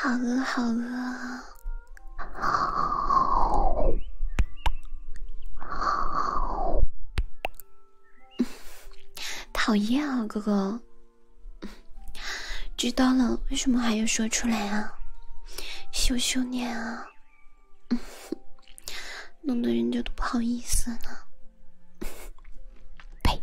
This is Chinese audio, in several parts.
好饿，好饿，好，好，讨厌啊，哥哥！知道了，为什么还要说出来啊？羞羞脸啊！弄得人家都不好意思呢。呸！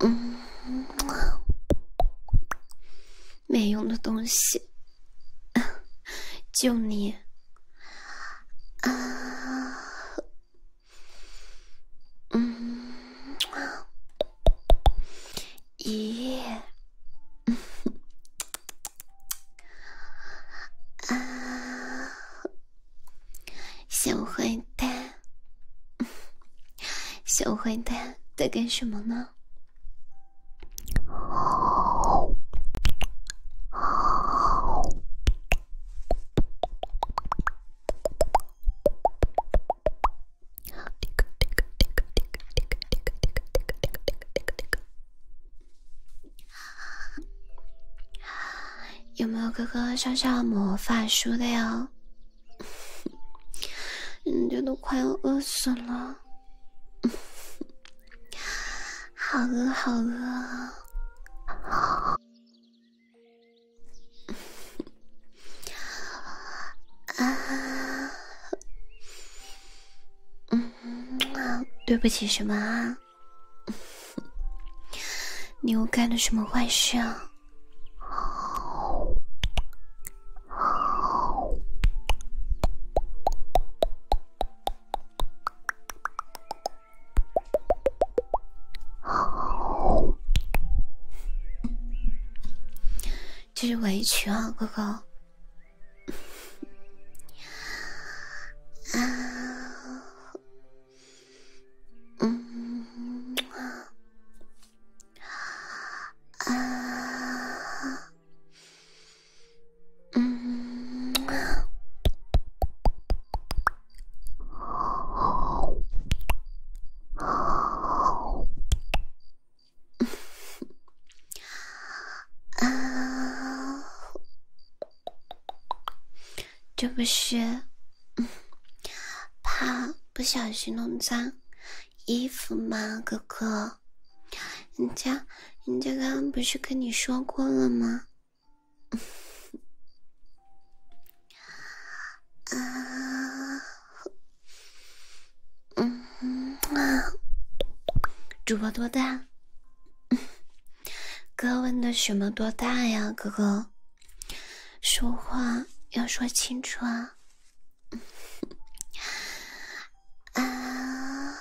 嗯，没用的东西，就你啊，嗯，咦，啊，小坏蛋。小坏蛋在干什么呢？有没有哥哥上上魔法书的哟？人家都快要饿死了，好饿，好饿。啊，嗯，对不起什么啊？你又干了什么坏事啊？好，好，好，这是委屈啊，哥哥。啊，嗯啊啊，嗯，好，好，啊，这不是怕。不小心弄脏衣服吗，哥哥？人家人家刚刚不是跟你说过了吗？啊，嗯啊，主播多大？哥问的什么多大呀，哥哥？说话要说清楚啊。啊，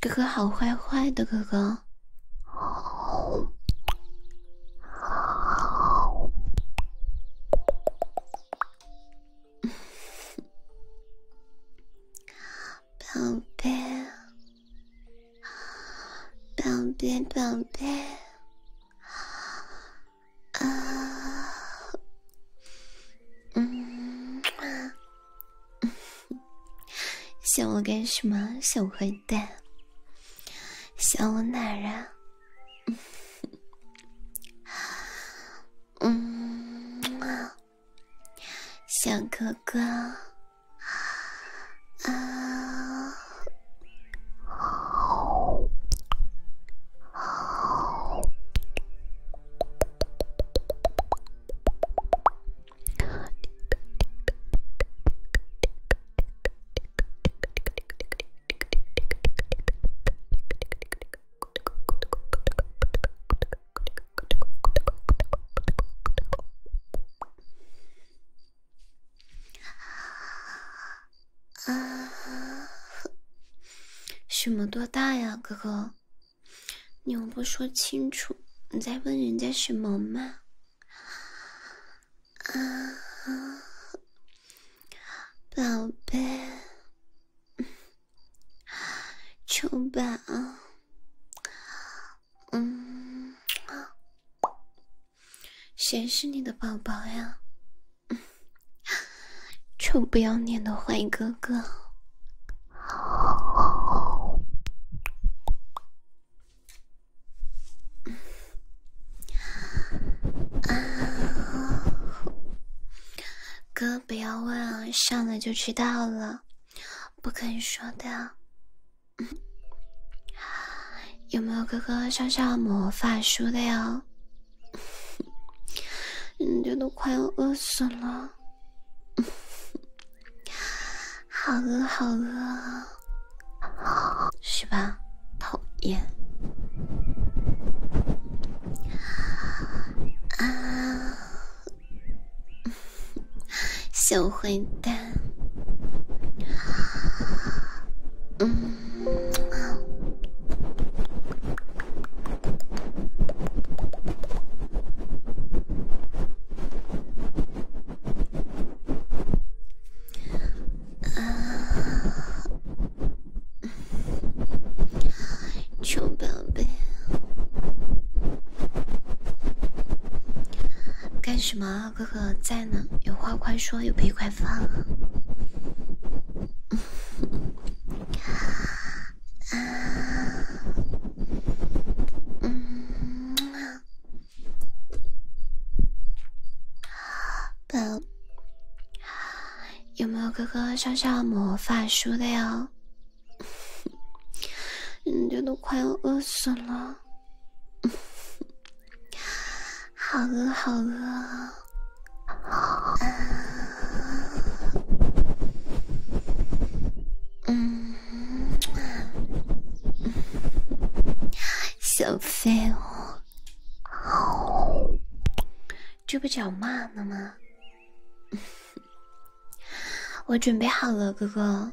哥哥好坏坏的哥哥，好，好，宝贝。宝贝，宝贝，啊，嗯，想我干什么，小坏蛋？想我哪儿啊？嗯，啊，小哥哥。啊，嗯，好，好。啊，什么多大呀，哥哥？你又不说清楚，你在问人家什么吗？啊，宝贝，秋 宝。嗯，谁是你的宝宝呀？臭不要脸的坏哥哥！啊，哥不要问啊，上来就知道了，不可以说的。有没有哥哥上上魔法书的哟？人 都快要饿死了，好饿好饿，是吧？讨厌啊！小坏蛋，嗯，啊，臭宝贝，干什么？哥哥在呢，有话快说，有屁快放。啊，有没有哥哥上下魔法书的哟？人家都快要饿死了。好饿，好饿，嗯，小废物，这不脚骂了吗？我准备好了，哥哥。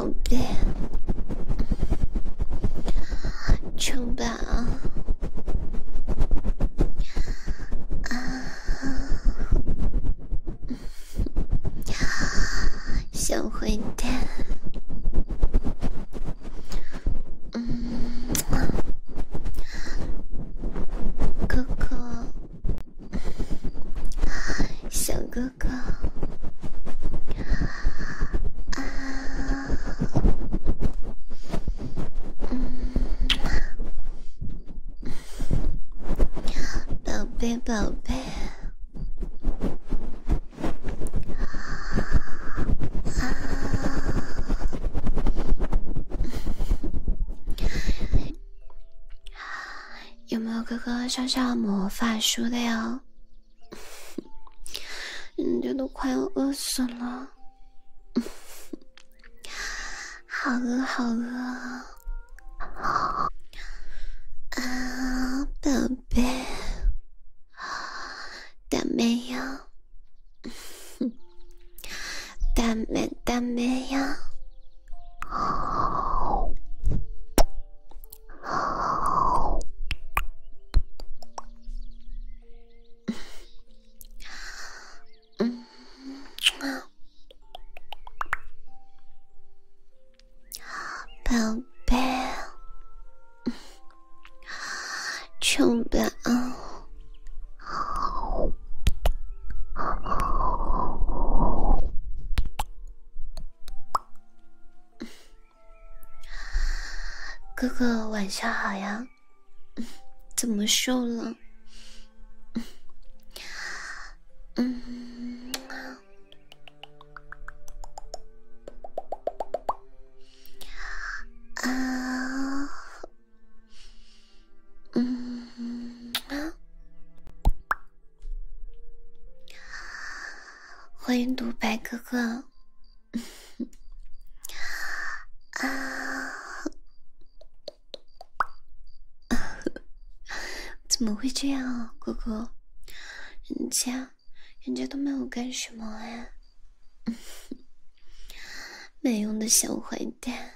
宝贝，臭宝，啊，小坏蛋，嗯，哥哥，小哥哥，啊。宝贝宝贝，有没有哥哥上上魔法书的哟？人家都快要饿死了，好饿好饿，啊，宝贝，大美呀，大美大美呀。嗯，啊，宝贝，求抱抱。哥哥，晚上好呀，怎么瘦了？嗯，啊，嗯，欢迎独白哥哥。怎么会这样啊，哥哥？人家，人家都没有干什么哎，没用的小坏蛋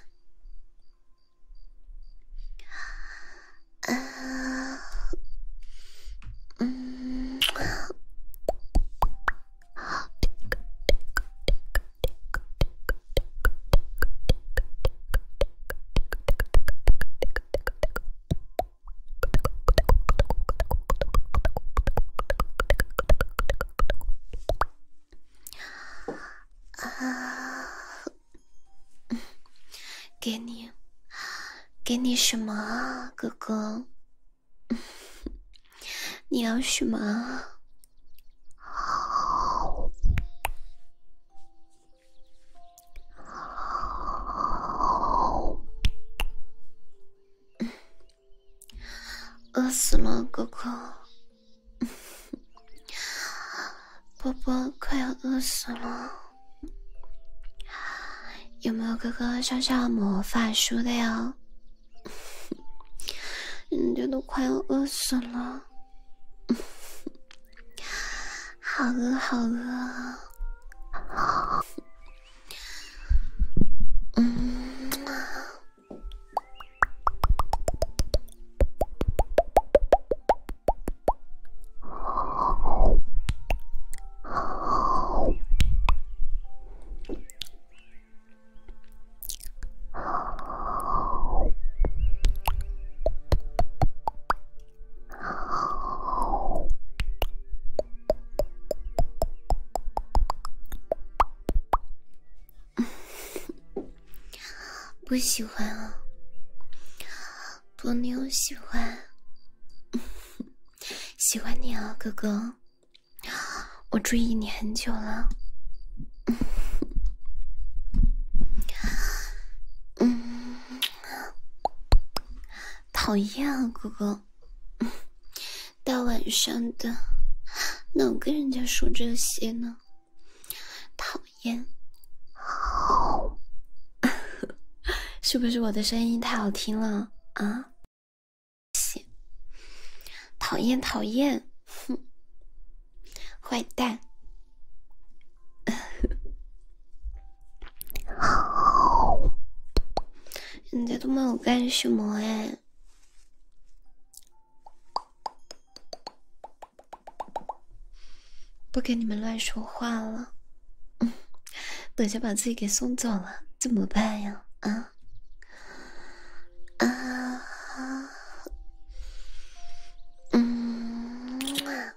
啊！嗯，啊，给你，给你什么啊，哥哥？你要什么？好，饿死了，哥哥，波波快要饿死了。有没有哥哥上上魔法书的哟？人 家都快要饿死了，好 饿好饿！嗯 不喜欢啊，我没有喜欢。喜欢你啊，哥哥！我注意你很久了。嗯，讨厌啊，哥哥！大晚上的，哪跟人家说这些呢？讨厌！是不是我的声音太好听了啊？讨厌讨厌，哼，坏蛋！人家都没有干什么哎，不跟你们乱说话了。等下把自己给送走了，怎么办呀？啊啊，嗯啊啊！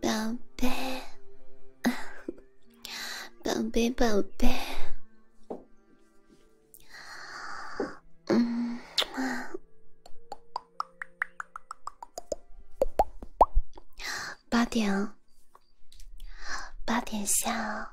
宝贝，宝贝，宝贝，嗯，八点八点下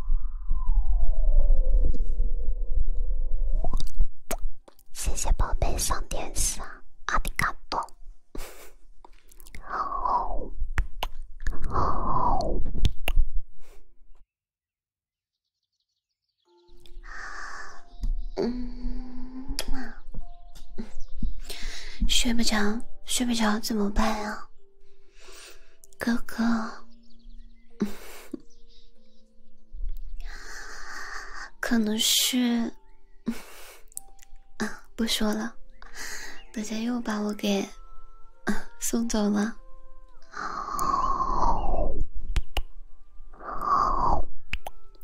谢谢宝贝上电视啊，阿迪卡多。好，好。嗯，睡不着，睡不着怎么办啊？哥哥，可能是……啊，不说了，大家又把我给送走了，好，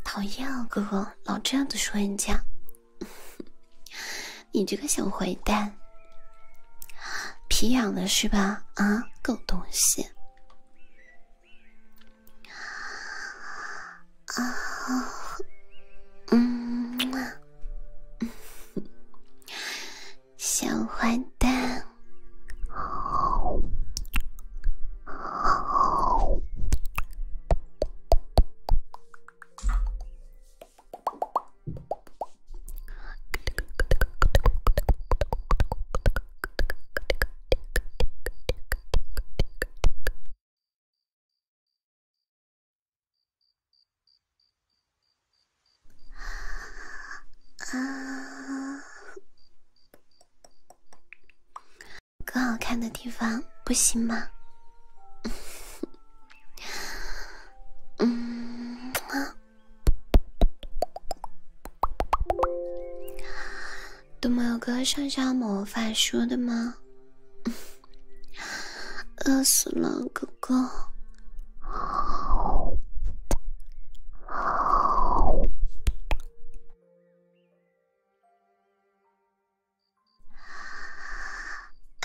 讨厌啊！哥哥，老这样子说人家。你这个小坏蛋，皮痒了是吧？啊，狗东西！啊，嗯，小坏蛋，好，好。啊啊！更好看的地方不行吗？都没有个上下魔法书的吗？饿死了，哥哥。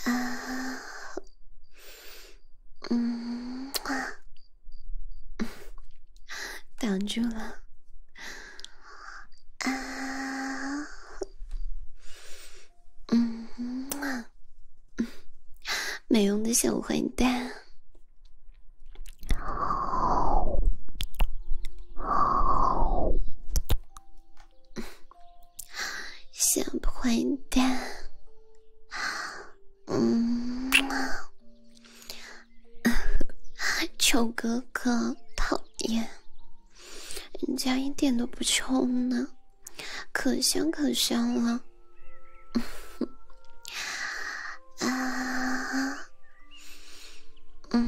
啊。嗯，啊，挡住了。啊，嗯，没用的小坏蛋。小坏蛋，嗯嘛，臭哥哥，讨厌，人家一点都不臭呢，可香可香了，嗯哼，啊，嗯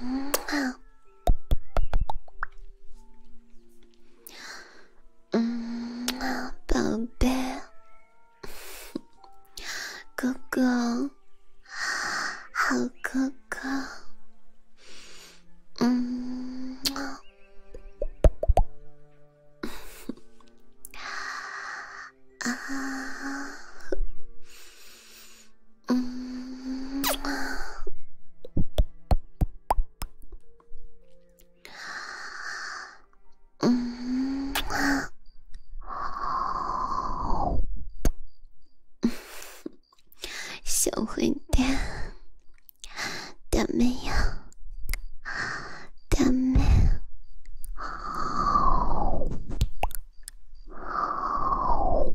嘛。嗯，宝贝，哥哥，好哥哥，嗯，啊，嗯。嗯，小坏蛋，大美呀，大美，好，好。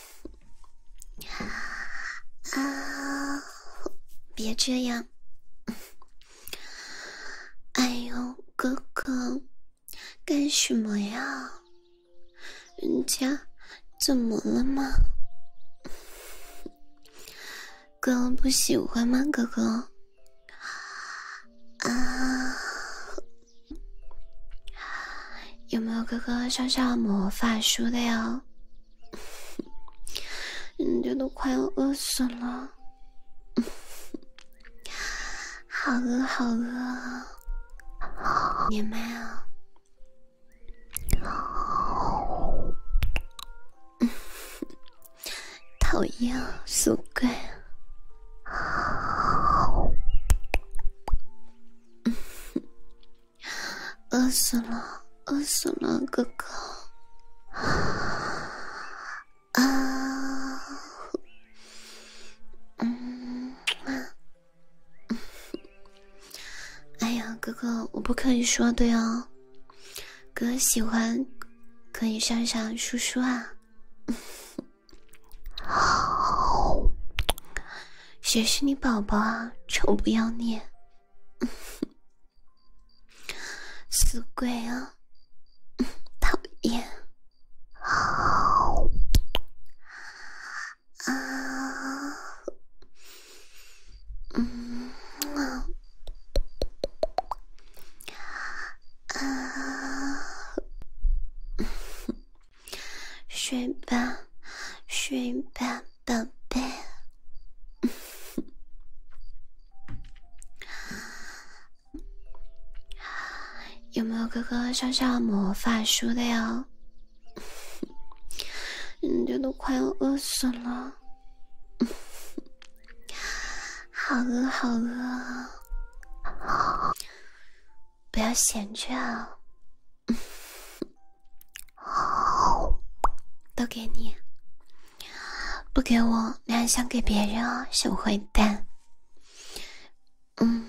啊！别这样！哎呦，哥哥，干什么呀？人家怎么了吗？哥不喜欢吗？哥哥？啊？有没有哥哥上上魔法书的呀？人家都快要饿死了，好饿好饿，你们啊！讨厌死鬼！饿死了，饿死了，哥哥。啊啊，嗯，哎呀，哥哥，我不可以说的哟。哥喜欢，可以上上叔叔啊。好，谁是你宝宝啊？臭不要脸！死鬼啊！讨厌，好啊，嗯啊，睡吧，睡吧。宝贝，有没有哥哥上上魔法书的呀？人家都快要饿死了，好饿好饿，不要闲着啊！好，都给你，不给我，你还想给别人哦，小坏蛋。嗯。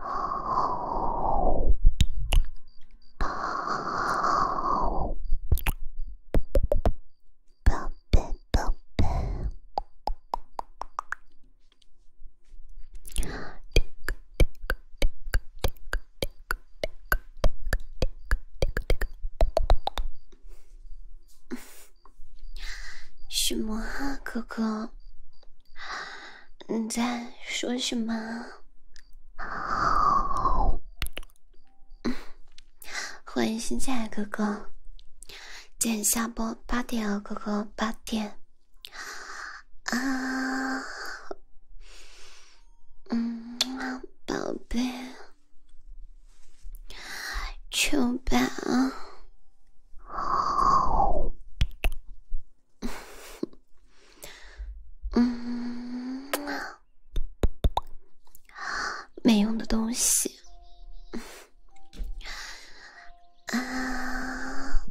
哦哦，宝贝宝贝，什么啊，哥哥？你在说什么？欢迎新进来哥哥，见下播八点啊，哥哥八点啊，嗯，宝贝，秋啊。嗯，嗯，没用的东西，啊，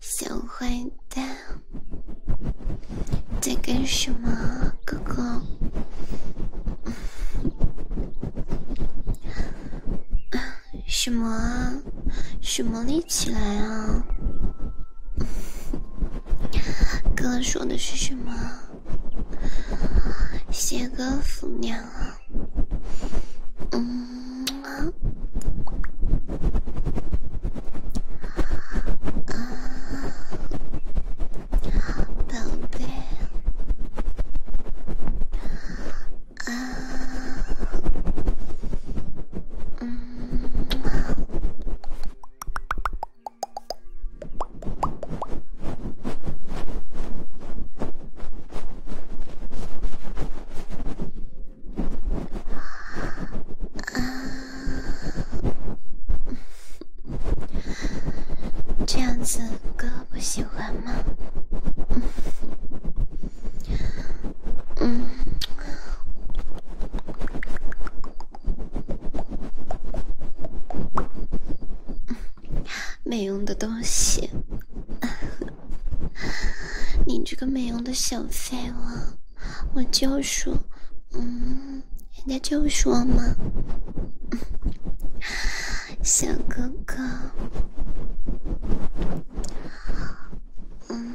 小坏蛋，在干什么，哥哥？什么啊？什么立起来啊？哥 说的是什么？谢哥福娘啊？嗯啊啊！宝贝。啊，啊，这样子哥不喜欢吗？嗯，没用的东西，你这个没用的小废物，我就说，嗯，人家就说嘛，小哥哥，嗯。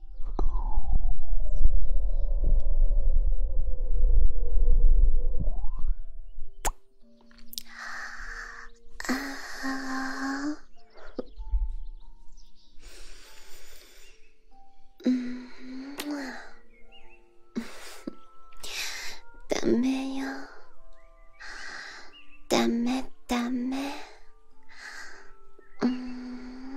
あうんダメよダメダメうん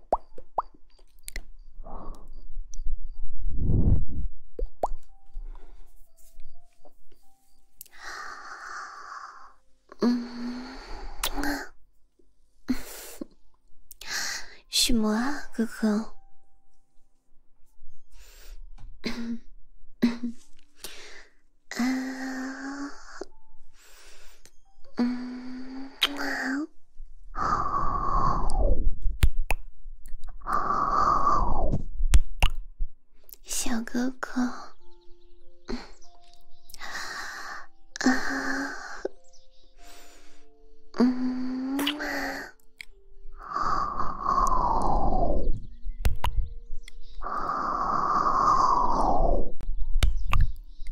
什么啊，哥哥？啊。嗯，好，小哥哥，啊，嗯，好，好。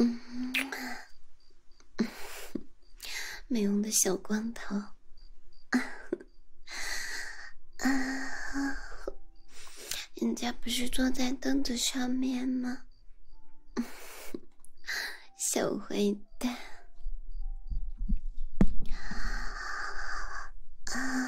嗯，没用的小光头，啊！人家不是坐在凳子上面吗？小坏蛋，啊！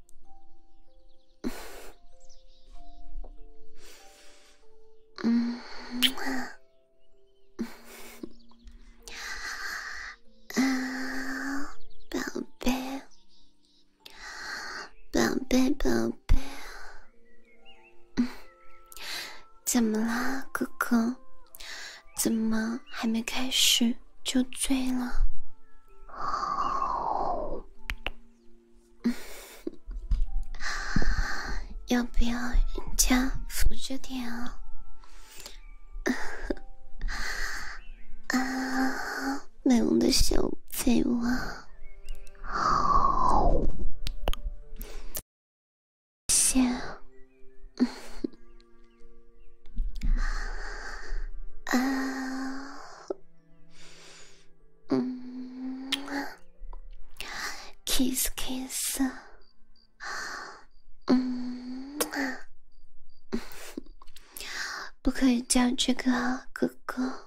嗯啊，啊，宝贝，宝贝，宝贝，怎么啦，哥哥？怎么还没开始就醉了？好，要不要人家扶着点啊？啊，美容的小废啊！好，先，嗯。啊嗯，kiss kiss，嗯，不可以叫这个哥哥。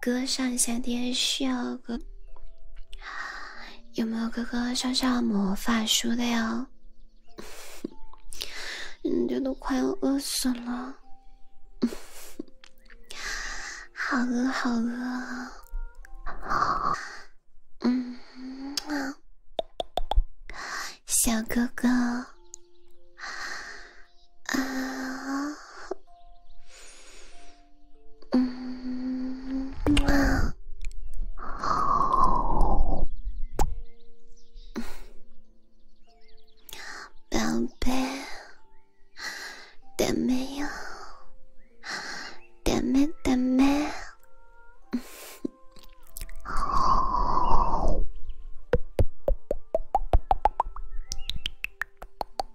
哥上一下电视哦，哥，有没有哥哥上上魔法书的哟？人 家都快要饿死了，好饿好饿，嗯，小哥哥，啊。嗯，宝贝，ダメよ，ダメ，ダメ。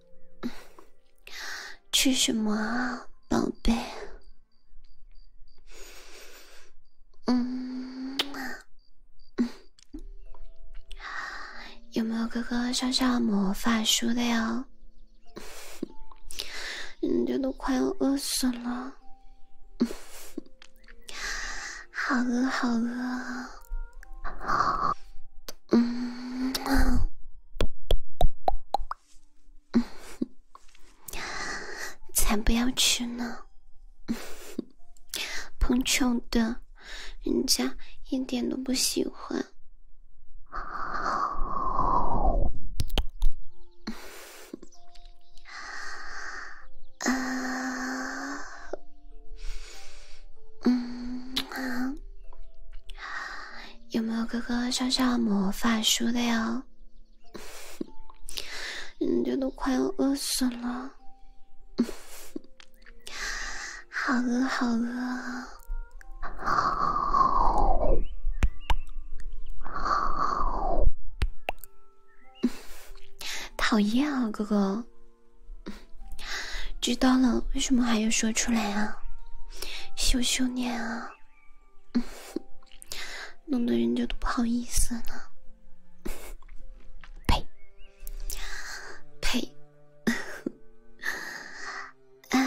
吃什么啊，宝贝？嗯，有没有哥哥上上魔法书的哟？人 家都快要饿死了，好饿，好饿。嗯，才不要吃呢！碰穷的，人家一点都不喜欢。啊。嗯啊，有没有哥哥上上魔法书的哟？人 家都快要饿死了，好 饿好饿，好，好，讨厌啊，哥哥。知道了，为什么还要说出来啊？羞羞脸啊，弄得人家都不好意思了。呸，呸，啊。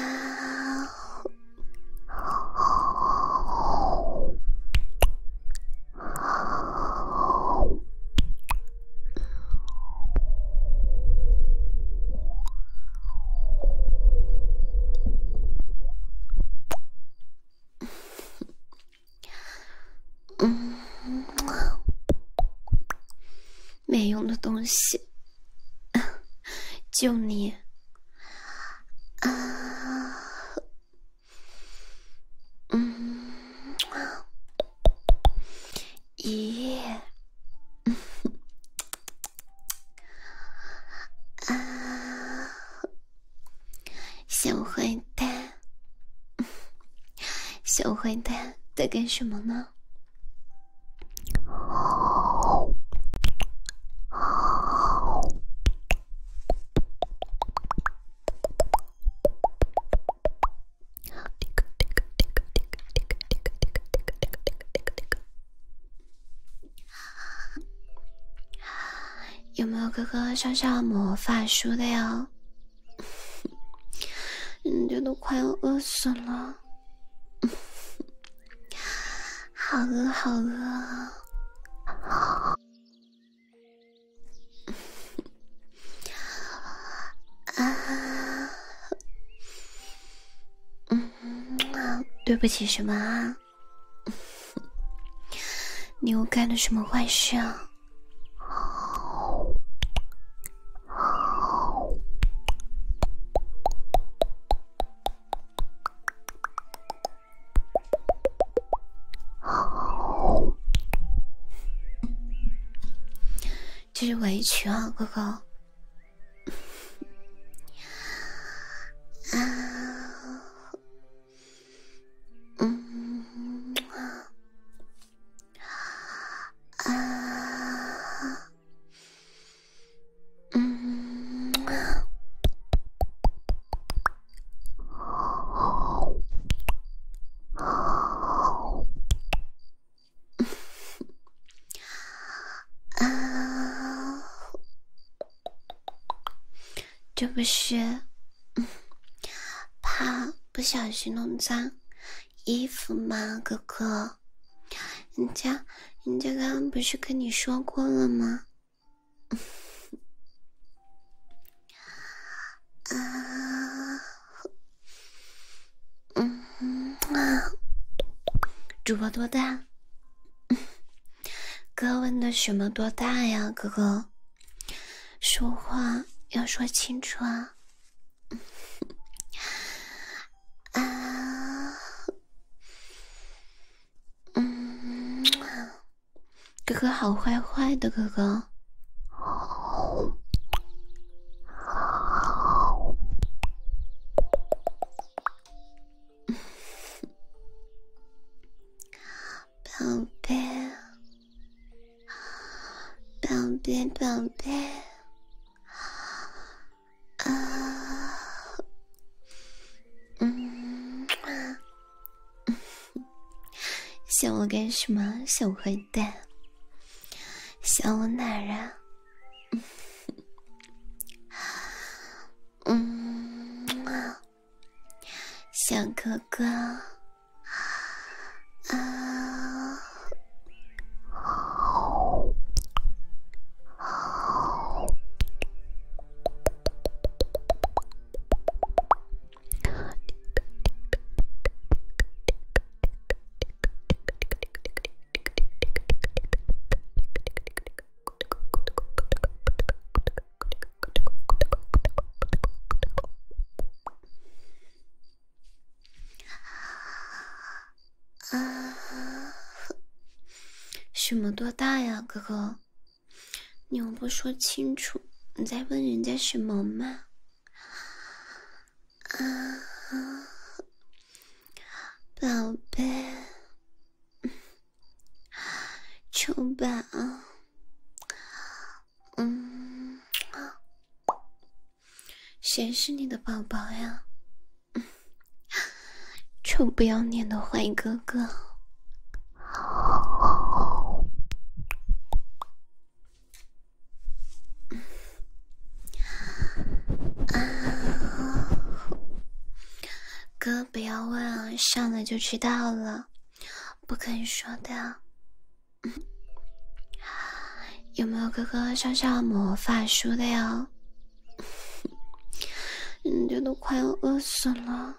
没用的东西，就你啊，咦，啊，小坏蛋，小坏蛋在干什么呢？好，有没有哥哥上上魔法书的呀？人 家都快要饿死了。好饿，好饿。啊，嗯，对不起什么啊？你又干了什么坏事啊？就是委屈啊，哥哥。啊，嗯啊，啊，嗯啊，啊，这不是怕不小心弄脏衣服吗，哥哥？人家，人家刚刚不是跟你说过了吗？啊。嗯啊，主播多大？哥问的什么多大呀，哥哥？说话要说清楚啊！啊，嗯哥哥好坏坏的哥哥。宝贝，宝贝，宝贝，啊，嗯，想我干什么？想我干？对，想我哪啊？嗯小哥哥啊，好。啊，什么多大呀，哥哥？你又不说清楚，你在问人家什么吗？啊，宝贝，臭宝，嗯，谁是你的宝宝呀？臭不要脸的坏哥哥。啊，哥，不要问啊，上来就知道了，不可以说的。有没有哥哥上上魔法书的呀？人家都快要饿死了，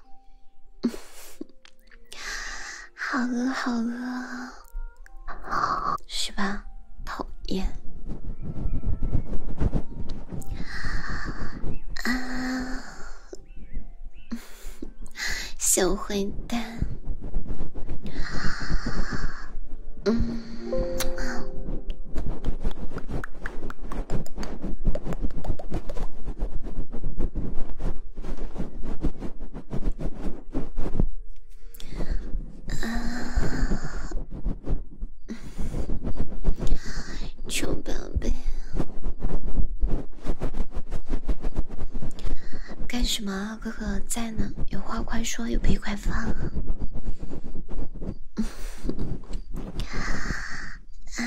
好饿，好饿。是吧？讨厌，啊，小坏蛋，嗯，啊，臭宝贝，干什么啊？哥哥在呢，有话快说，有屁快放。嗯。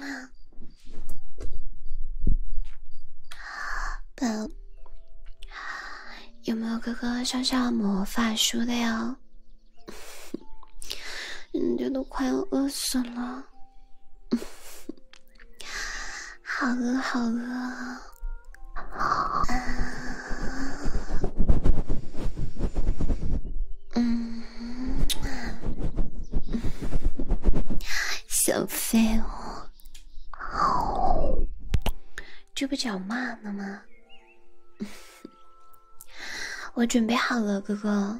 啊。嗯。有没有哥哥上上魔法书的呀？人 家都快要饿死了，好 饿好饿！嗯，小废物。这不脚骂了吗？我准备好了，哥哥。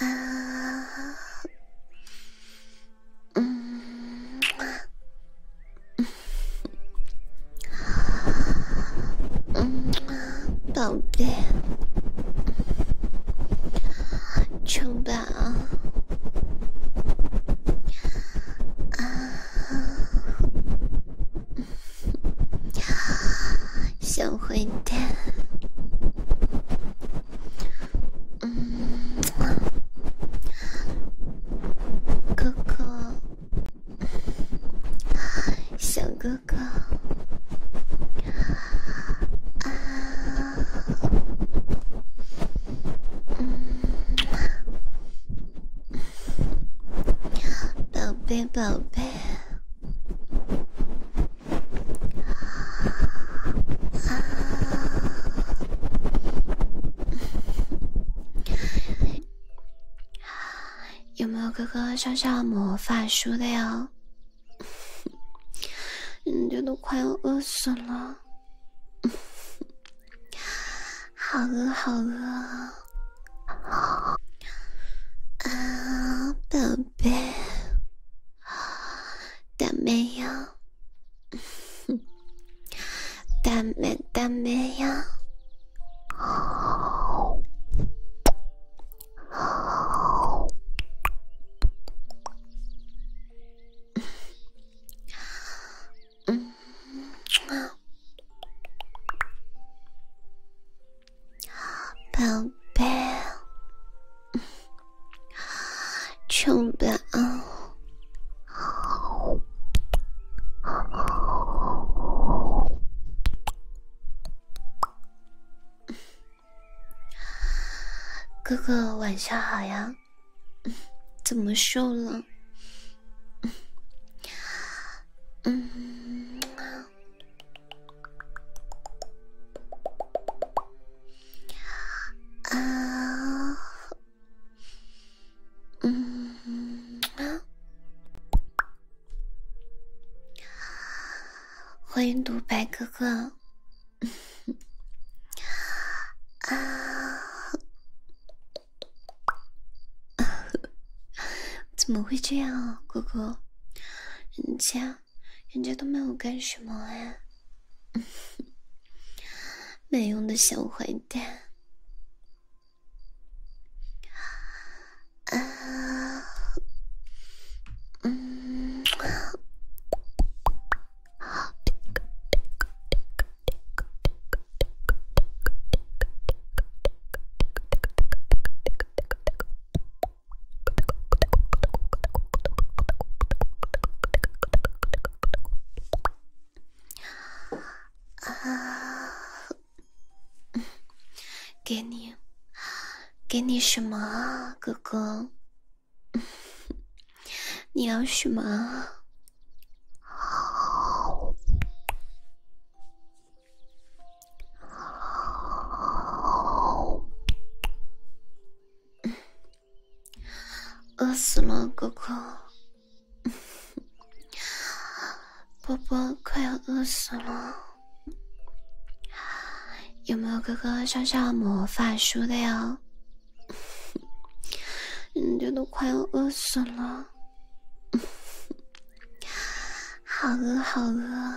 啊，嗯，嗯，宝贝，城堡，啊，小坏蛋。嗯，哥哥，小哥哥，宝贝，宝贝。有没有哥哥上上魔法书的呀？人 家都快要饿死了，好饿好饿！啊，宝贝，但没有。哼，ダメダメ呀，好，好，嗯，宝贝。去吧，哥哥，晚上好呀？怎么瘦了？嗯。啊，嗯，欢迎独白哥哥。啊，怎么会这样，哥哥？人家。人家都没有干什么呀，没用的小坏蛋。啊，嗯。啊，给你，给你什么啊，哥哥？你要什么？好，好。饿死了，哥哥，波波快要饿死了，有没有哥哥上上魔法书的呀？人家都快要饿死了，好饿，好饿。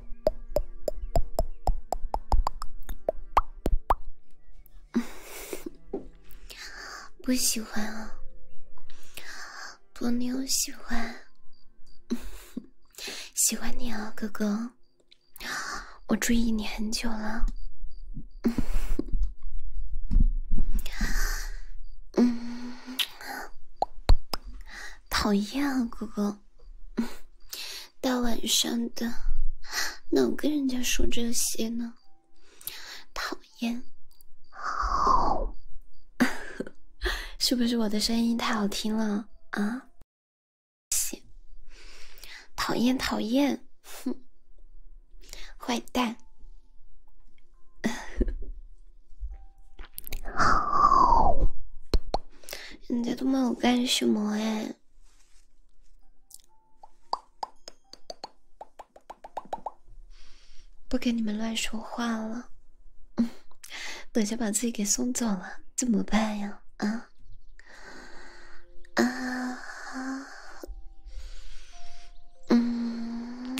不喜欢啊，波妞喜欢，喜欢你啊，哥哥，我注意你很久了，嗯，讨厌啊，哥哥。大晚上的，哪跟人家说这些呢？讨厌！好，是不是我的声音太好听了啊？讨厌，讨厌！哼，坏蛋！人家都没有干什么哎。不跟你们乱说话了。嗯，等下把自己给送走了，怎么办呀？啊啊，嗯。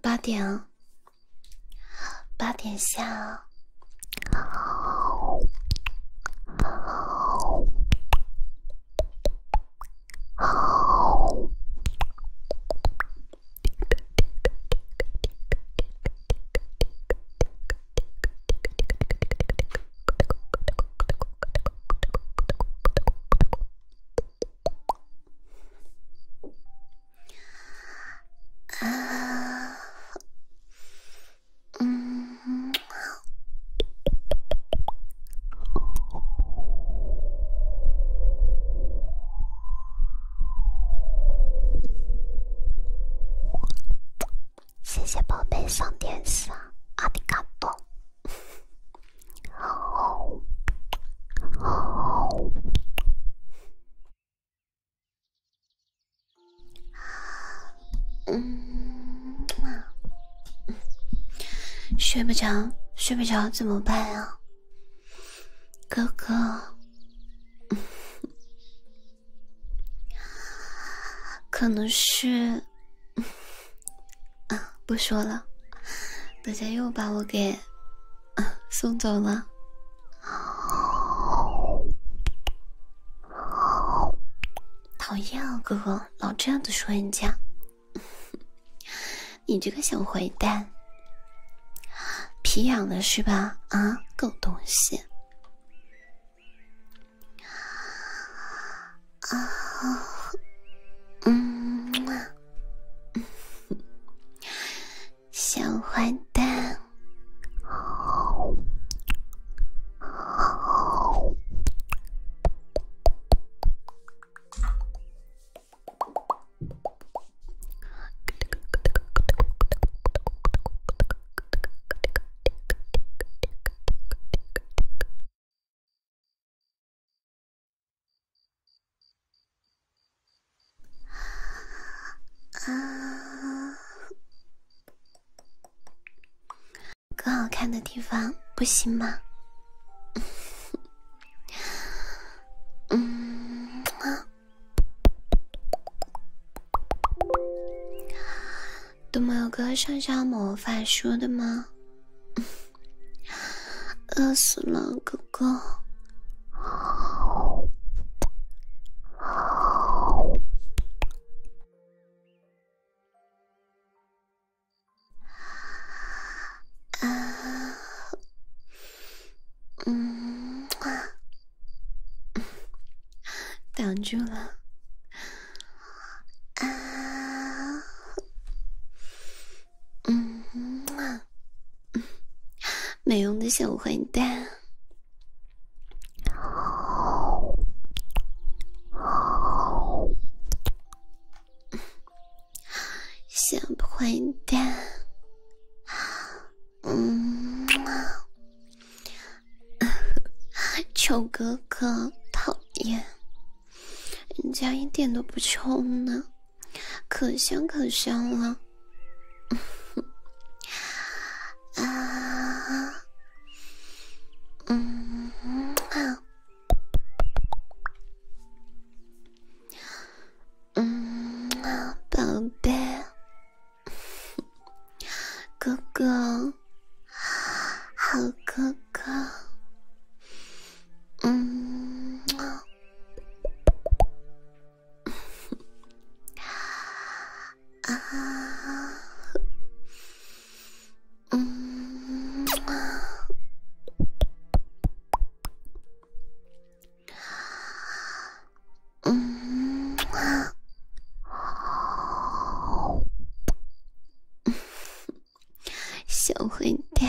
八点，八点下。好，好，好。啊，嗯，好。谢谢宝贝送甜食，阿迪卡多，好，好。嗯，睡不着，睡不着怎么办呀？哥哥，可能是啊，不说了，大家又把我给。送走了，讨厌啊！哥哥老这样子说人家，你这个小坏蛋，皮痒了是吧？啊，狗东西！啊，嗯。小坏蛋。啊，更好看的地方不行吗？嗯啊，都没有个上下魔法书的吗？饿死了，哥哥。好，好。啊，嗯，挡住了。啊，嗯，嗯，没用的小坏蛋，小坏蛋，嗯啊，哥哥，讨厌，人家一点都不臭呢。可香可香了，啊，嗯啊，嗯啊，宝贝，哥哥，好哥哥，嗯。嗯，啊，嗯，好，小黑蛋。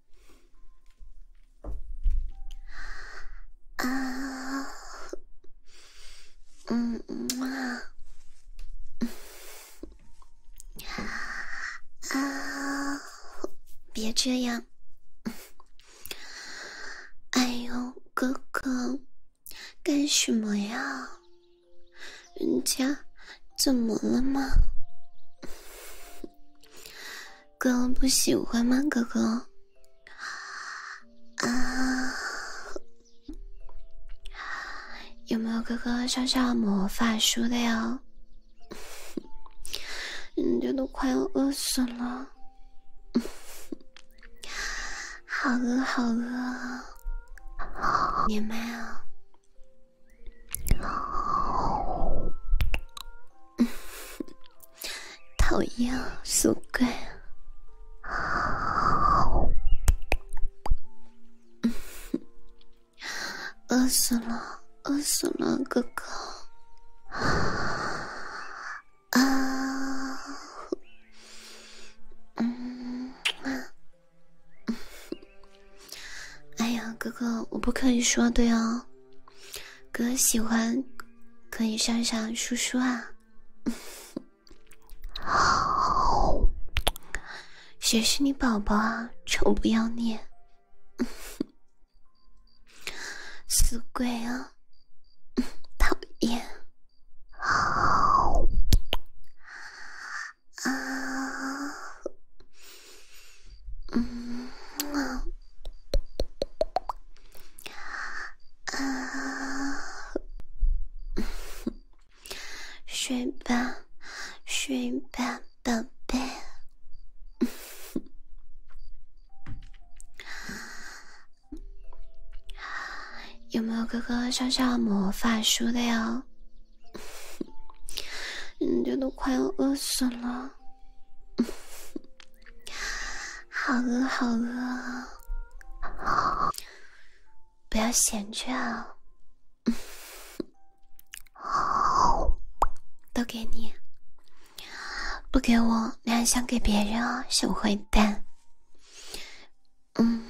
啊，嗯，啊，啊，别这样！哎呦，哥哥，干什么呀？人家怎么了吗？哥不喜欢吗？哥哥，啊，有没有哥哥上上魔法书的呀？人家都快要饿死了，好饿好饿啊！连麦啊！嗯，讨厌，死鬼，饿死了，饿死了，哥哥，啊，嗯，哎呀，哥哥，我不可以说的呀。哥喜欢，可以上上叔叔啊。好，谁是你宝宝啊？臭不要脸，死鬼啊！讨厌。好啊。嗯，啊，啊，睡吧，睡吧，宝贝。有没有哥哥上上魔法书的呀？人 家都快要饿死了。好饿，好饿，不要闲着啊！好，都给你，不给我你还想给别人啊，小坏蛋！嗯。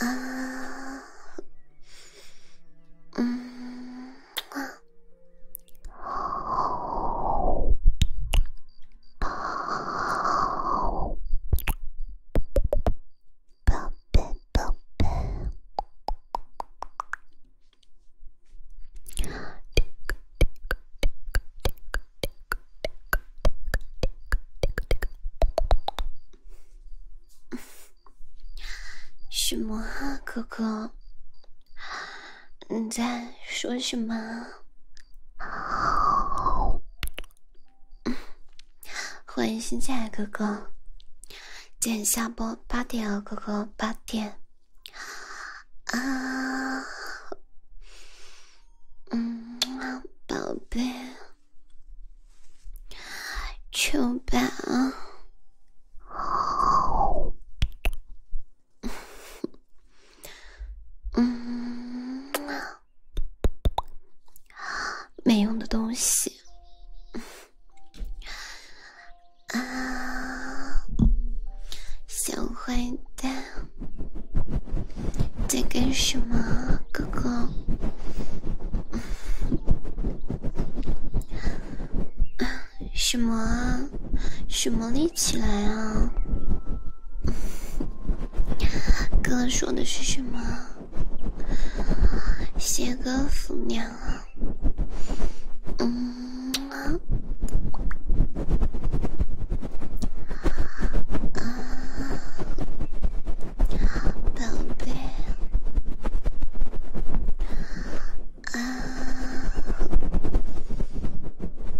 啊啊，嗯，啊，啊，宝贝，宝贝。什么啊，哥哥？你在说什么？欢迎新进来哥哥，点下播八点啊，哥哥八点啊。嗯，宝贝，求吧嗯，没用的东西啊，小坏蛋。在干什么，哥哥？什么啊？什么立起来啊？哥说的是什么？谢哥福娘啊？嗯啊。啊，宝贝，啊，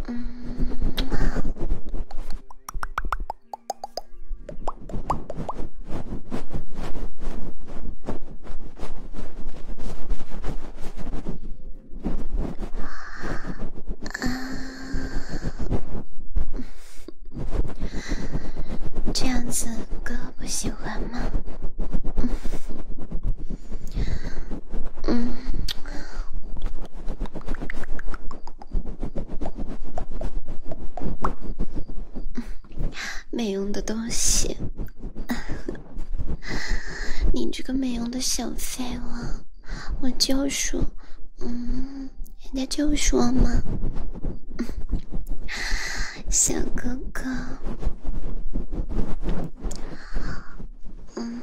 嗯。啊，这样子哥不喜欢吗？嗯，没用的东西，你这个没用的小废物。我就说，嗯，人家就说嘛，小哥哥，嗯。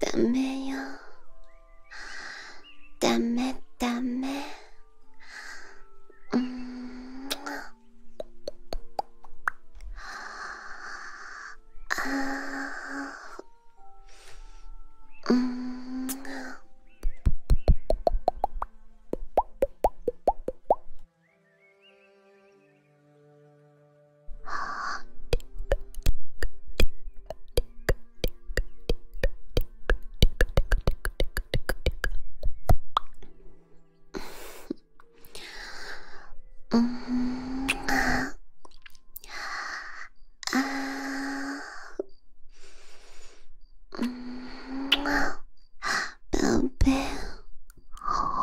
ダメよダメダメうんあうん啊，嗯啊啊，嗯啊，宝贝，哦。